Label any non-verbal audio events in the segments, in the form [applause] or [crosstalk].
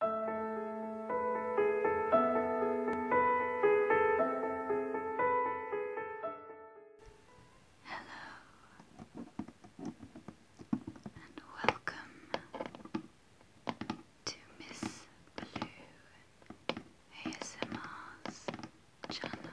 Hello and welcome to Miss Blue ASMR's channel.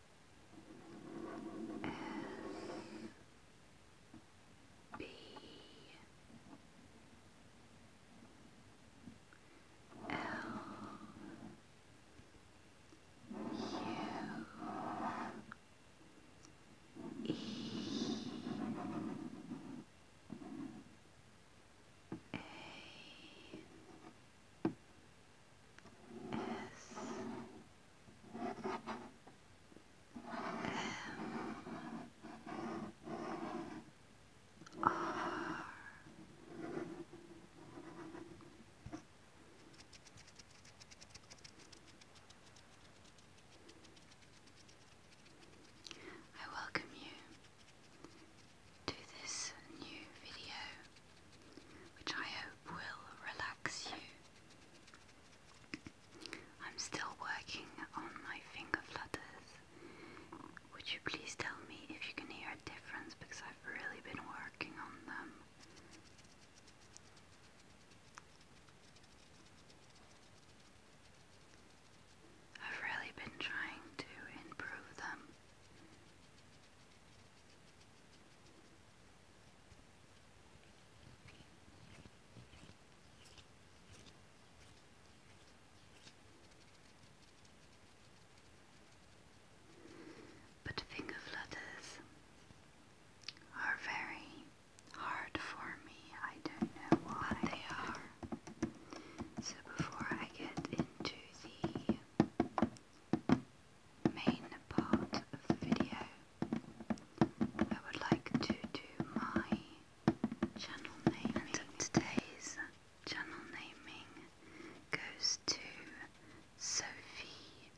S B L U E A S M R I welcome you to this new video, which I hope will relax you. I'm still working on my finger flutters. Would you please tell me if you can hear a difference because I've really been working on them. I've really been trying to improve them. But finger flutters are very hard for me. I don't know why they are. So before I get into the main part of the video, I would like to do my channel name, And today's channel naming goes to Sophie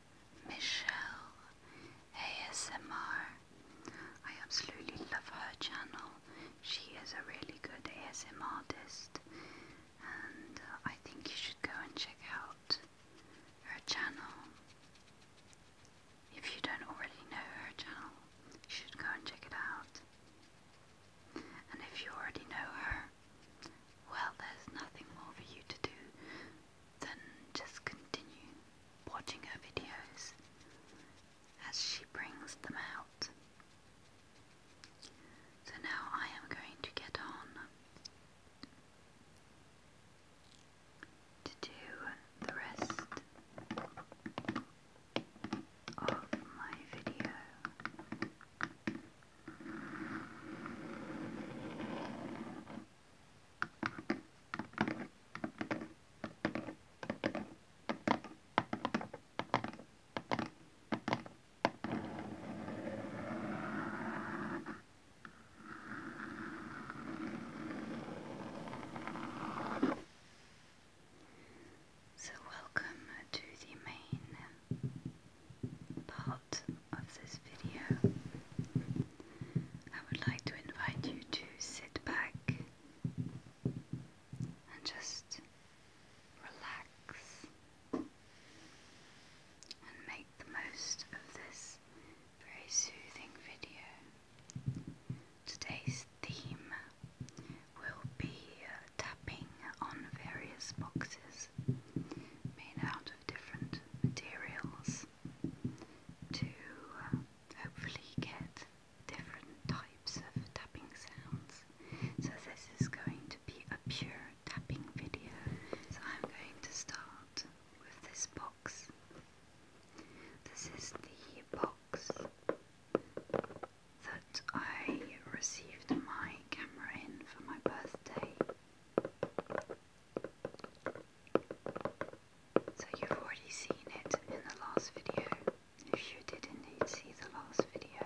Michelle ASMR. I absolutely love her channel. She is a really good ASMR artist, and uh, I think you should go and check out her channel. If you don't already know her channel, you should go and check it out. And if you already know her, well, there's nothing more for you to do than just continue watching her videos as she brings them out. So now I am going to get on to do the rest of my video. So, welcome to the main part of this video. I would like to invite you to sit back and just relax and make the most of this very soothing video. Today's theme will be uh, tapping on various boxes made out of different materials to uh, hopefully get different types of tapping sounds. So this is going to be a pure tapping video. So I'm going to start with this box this is the box that I received my camera in for my birthday. So you've already seen it in the last video. If you did indeed see the last video.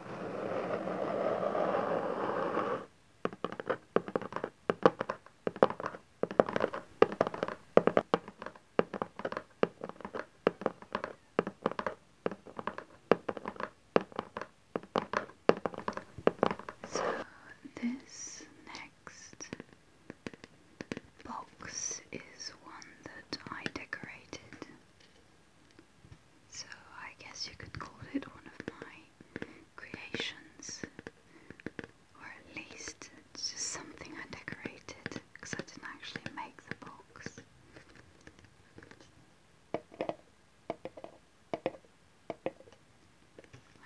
So this next box is one that I decorated so I guess you could call it one of my creations, or at least just something I decorated because I didn't actually make the box.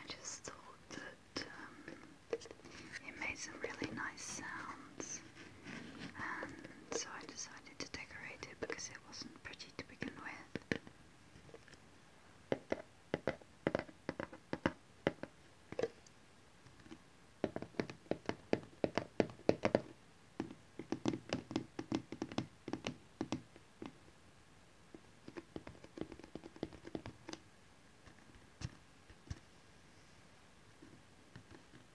I just thought that um, it made some really nice sounds, and so I decided to decorate it because it wasn't pretty to begin with.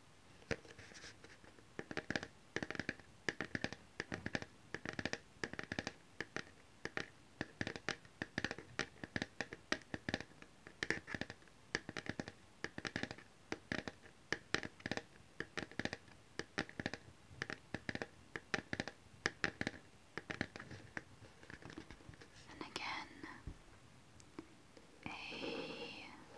And again, a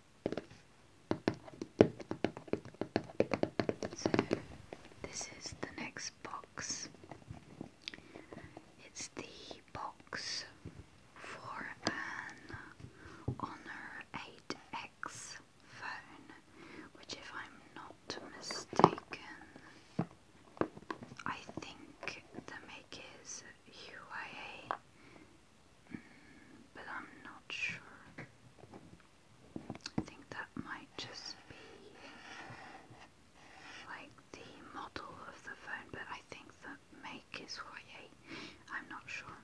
So, this is the next box. It's the box for an Honor 8X phone, which, if I'm not mistaken, I think the make is Huawei, mm, but I'm not sure. I think that might just be like the model of the phone, but I think the make is Royer. I'm not sure.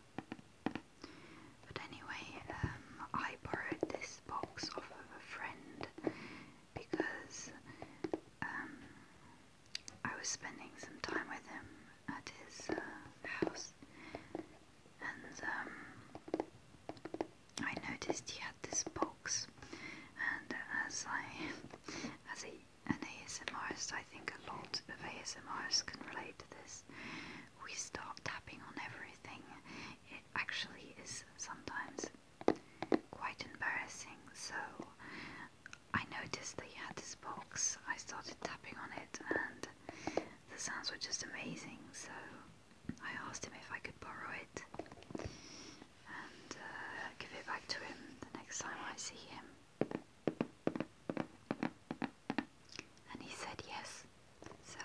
But anyway, um, I borrowed this box off of a friend because um, I was spending some time with him at his uh, house and um, I noticed he had this box, and as I, as a, ASMRist, I think a lot of ASMRs can relate to this. We start tapping on everything. It actually is sometimes quite embarrassing. So I noticed that he had this box. I started tapping on it, and the sounds were just amazing, so I asked him if I could borrow it and uh, give it back to him the next time I see him. And he said yes, so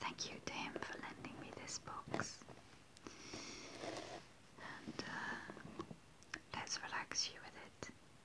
thank you to him for lending me this box. And uh, let's relax you with it.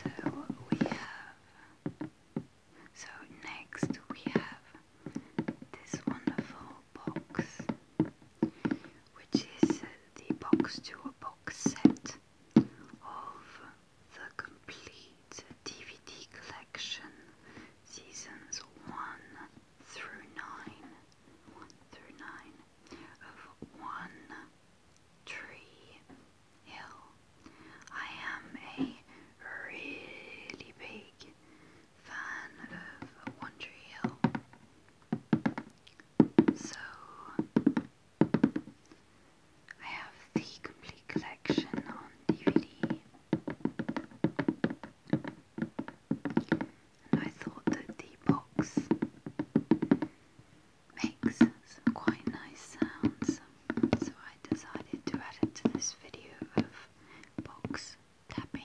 So we have so next we have this wonderful box, which is the box to a box set of the complete DVD collection, seasons 1 through 9, 1 through 9 of One I am a really big fan of One So I have the complete collection on DVD. I thought that the box makes some quite nice sounds, so I decided to add it to this video of box tapping.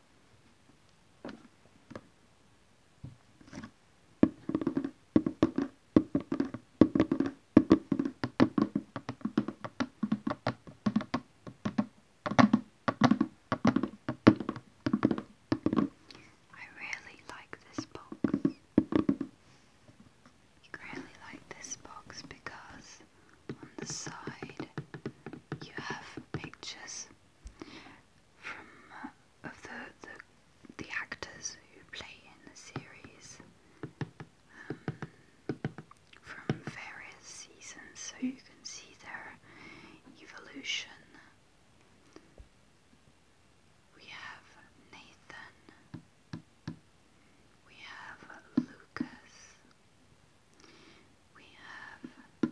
I really like this box. I really like this box because on the side you have pictures from uh, of the, the the actors who play in the series um, from various seasons, so you can see their evolution. We have Nathan. We have Lucas we have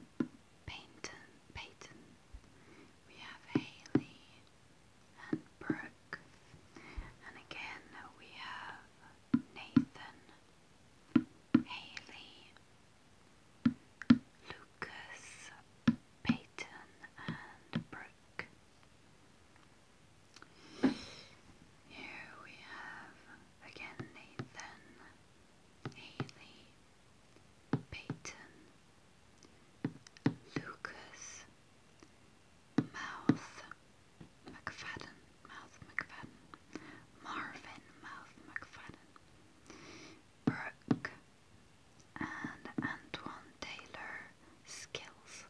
Payton, Payton, we have Haley and Brooke, and again we have Nathan, Haley, Lucas, Peyton, and Brooke. Here we have again Nathan, Haley, Payton, Lucas, Mouth McFadden, Mouth McFadden, Marvin Mouth McFadden, Brooke, and Antoine Taylor Skills.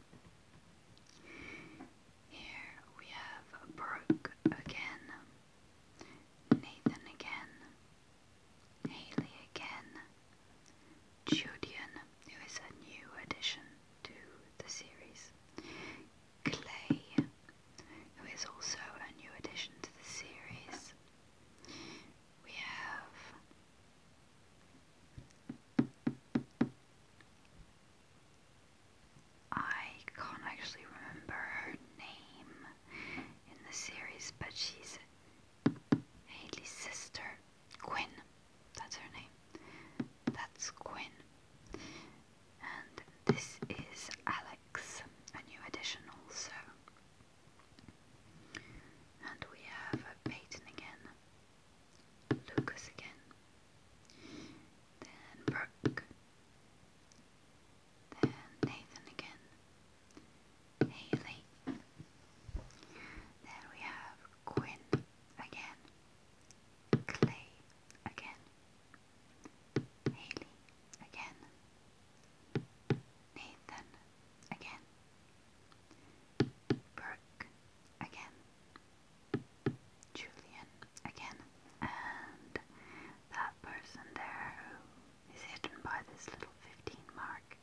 Here we have Brooke again, Nathan again, Haley again, Judian, who is a new addition to the series, Clay, who is also a new addition to the series. We have. I can't actually remember her name in the series, but she's Haley's sister, Quinn. That's her name. That's Quinn. And this is Alex, a new addition also. And we have Peyton again, Lucas again, then Brooke, then Nathan again. Haley. Then we have Quinn again. Clay again. Haley again. Nathan again. Brooke again. Julian again. And that person there is hidden by this little 15 mark.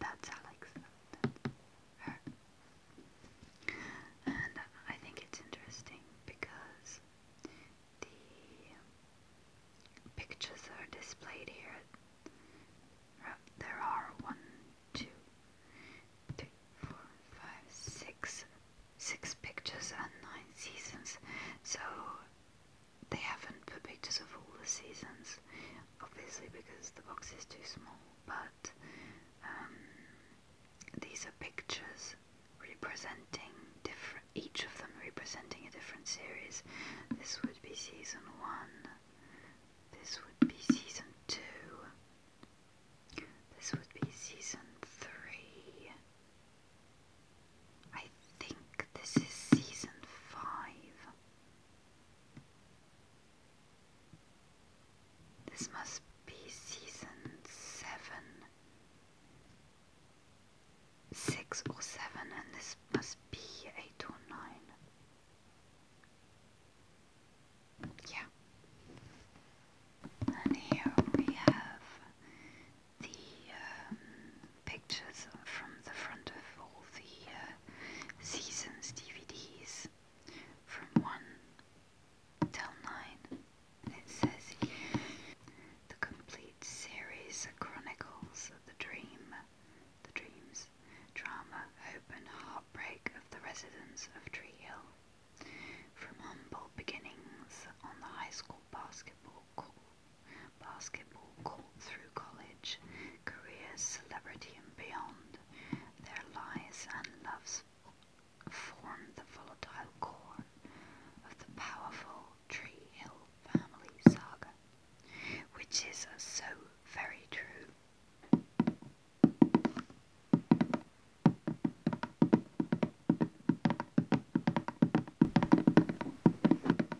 That's Alex. And I think it's interesting because the pictures are displayed here. Uh, there are one, two, three, four, five, six, six pictures and nine seasons. So they haven't put pictures of all the seasons, obviously because the box is too small, but um, these are pictures representing different, each of them representing a different series. This would be season one, this would be season two, this would be season three. I think this is season five. This must be season seven, six or seven, and this must be eight or nine. Yeah. And here we have the um, pictures from the front of all the uh, seasons DVDs from 1 to 9. and It says the complete series chronicles of the dream, the dreams, drama, hope, and heartbreak of the residents of Tree Hill. From humble beginnings on the high school basketball court basketball court through college, careers, celebrity, and beyond. Their lies and loves form the volatile core of the powerful Tree Hill family saga, which is so very true.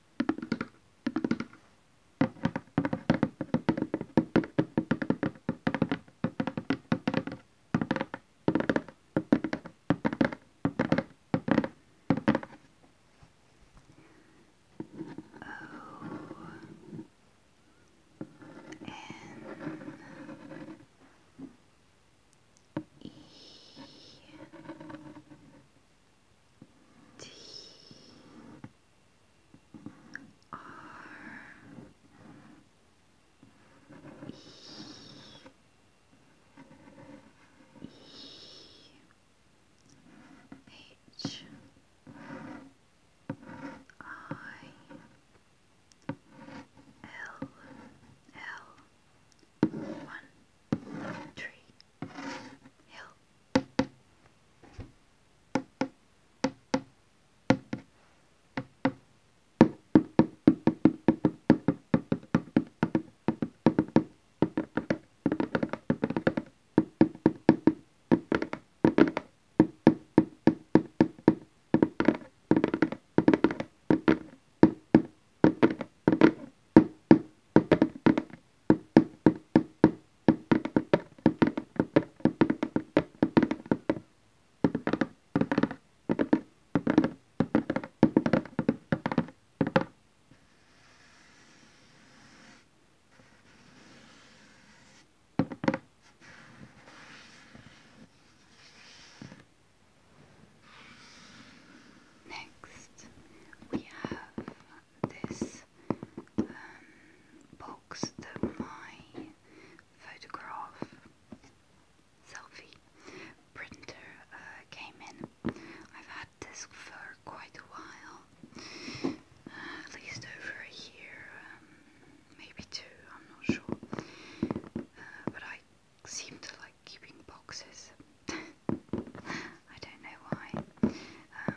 O N E T R E E H I L L one three Hill. Next, we have this um, box that my photograph selfie printer uh, came in. I've had this for quite a while, uh, at least over a year, um, maybe two, I'm not sure. Uh, but I seem to like keeping boxes. [laughs] I don't know why. Um,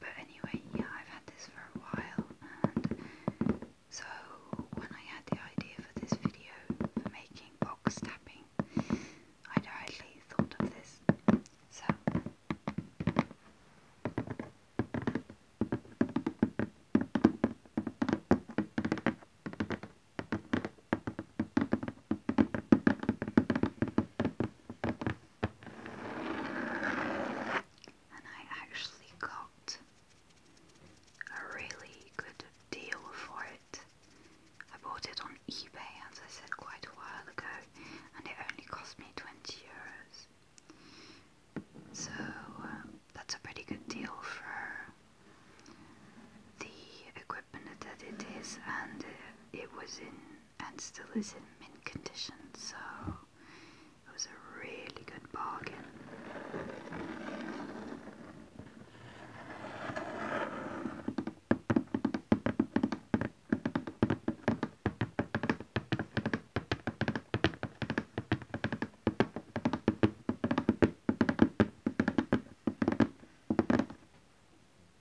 but anyway, yeah, I've had this for a while, so when I had the idea for this video for making box tapping, I directly thought of this. So. And I actually got a really good deal for it. I bought it on eBay, as I said quite a while ago, and it only cost me 20 euros. So um, that's a pretty good deal for the equipment that it is, and it was in and still is in mint condition, so it was a really good bargain.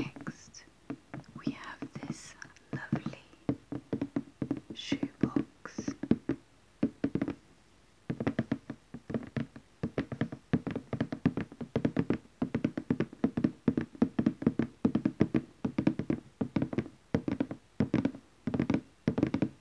Next, we have this lovely shoebox.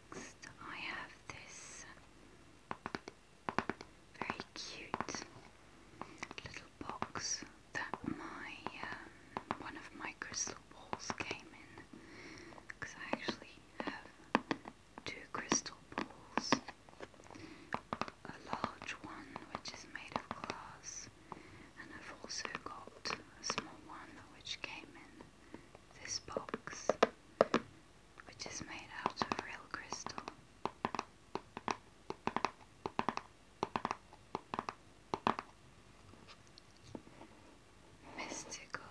I have this very cute little box that my um, one of my crystal balls came in because I actually have two crystal balls a large one which is made of glass and I've also got a small one which came in this box which is made out of real crystal. Mystical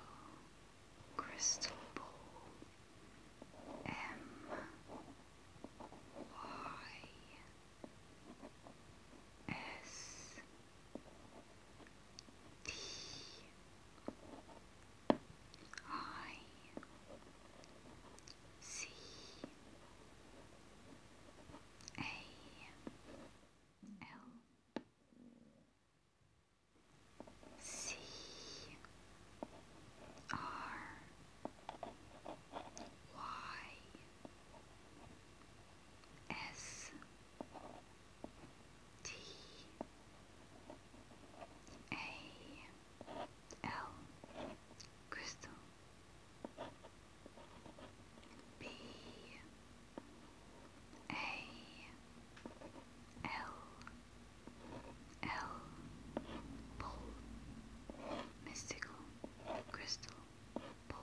Crystal Ball M Y S T I C A L C R Y S T A L crystal B A L L Pole mystical crystal pole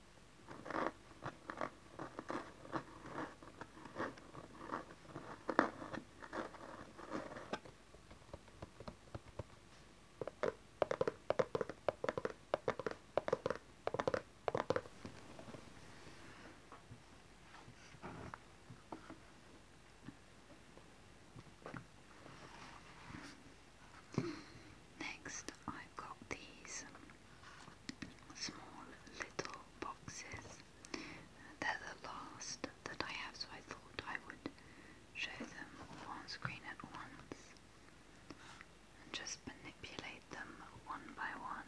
Next, I've got these small little boxes. They're the last that I have, so I thought I would show them on screen at once and just manipulate them one by one.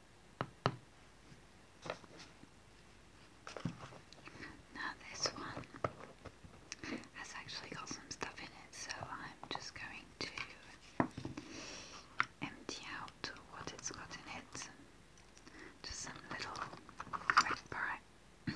Now this one has actually got some stuff in it, so I'm just going to empty out what it's got in it. Just some little bric-a-bracs.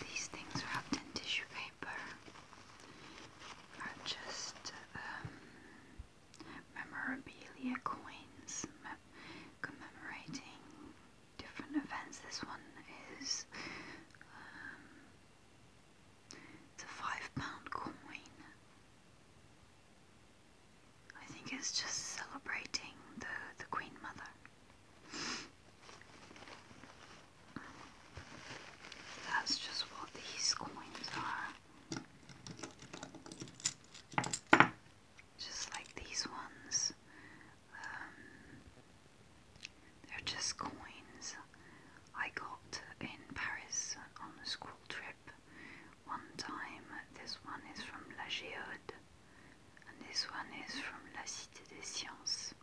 These things wrapped in tissue paper are just um, memorabilia coins commemorating different events. This one is um, it's a five pound coin. I think it's just celebrating the, the Queen Mother. That's just what these coins are. Just like these ones. Um, they're just coins I got in Paris on a school trip one time. This one is from La Géode. and this one is from La Cité des Sciences.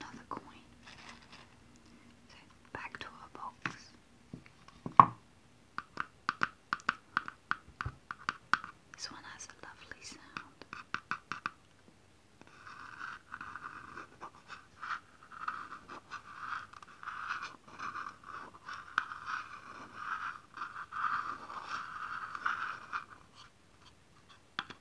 Another coin. So back to our box. This one has a lovely sound.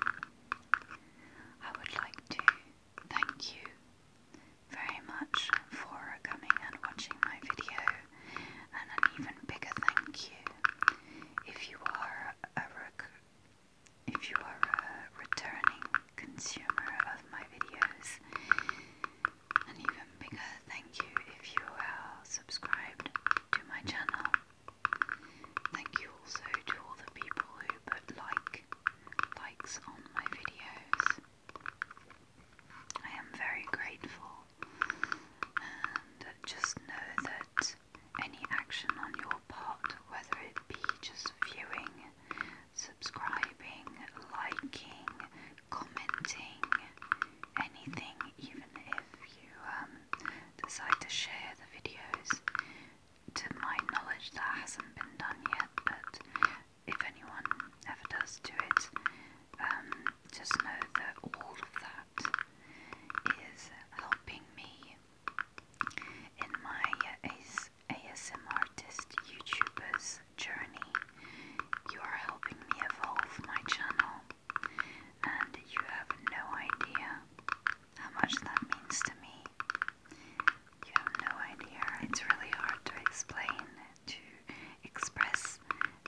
I would like to thank you very much for coming and watching my video, and an even bigger thank you if you are a if you are a returning consumer of my videos. An even bigger thank you if you are subscribed to my channel. Thank you also to all the people who put like likes on my videos. I am very grateful and just know that any action on your part, whether it be just viewing, subscribing, liking, commenting, anything, even if you um, decide to share the videos, to my knowledge, that hasn't been done yet, but if anyone ever does do it, um, just know that all of that is helping me in my AS YouTuber's journey. You are helping me evolve my channel, and you have no idea how much that means to me. You have no idea. It's really hard to explain, to express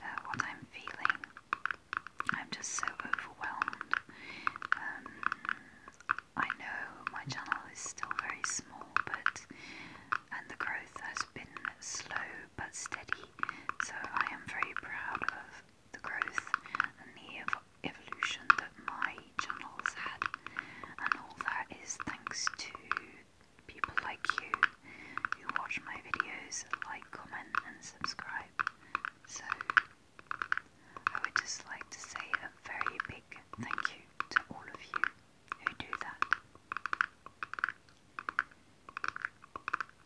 uh, what I'm feeling. I'm just so overwhelmed. Um, I know my channel is still very small, but and the growth has been slow but steady. So I am very proud of the growth and the evolution that my channel's had, and all that is thanks to people like you who watch my videos, like, comment, and subscribe. So, I would just like to say a very big thank you to all of you who do that.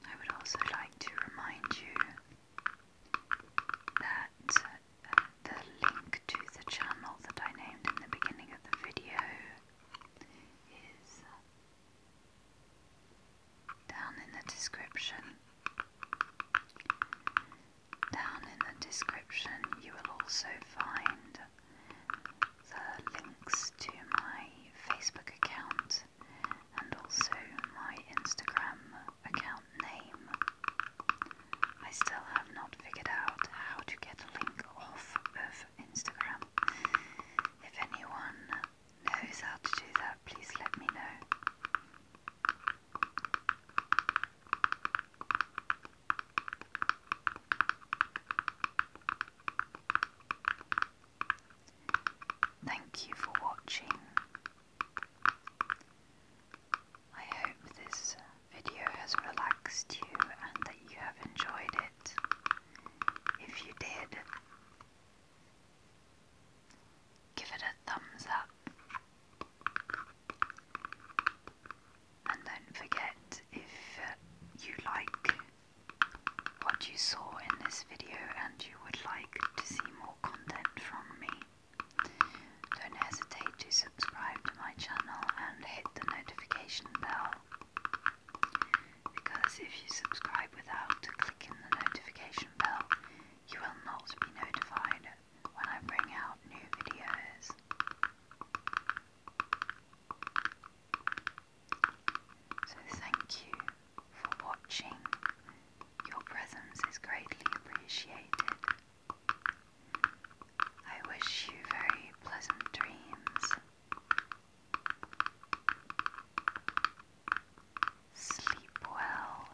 I would also like to remind you that the link to the channel that I named in the beginning of the video is down in the description. Down in the description, you will also find the links to my Facebook account and also my Instagram account name. I still have not figured out how to get a link off of Instagram. If anyone knows how to do that, please let me know. Thank you for watching. I hope this video has relaxed you and that you have enjoyed it. If you did, give it a thumbs up. And don't forget if you like what you saw in this video and you would like to see more content from me, don't hesitate to subscribe to my channel and hit the notification bell because if you subscribe without clicking the notification bell, you will not be notified when I bring out new videos. So, thank you for watching your presence is greatly appreciated. I wish you very pleasant dreams. Sleep well.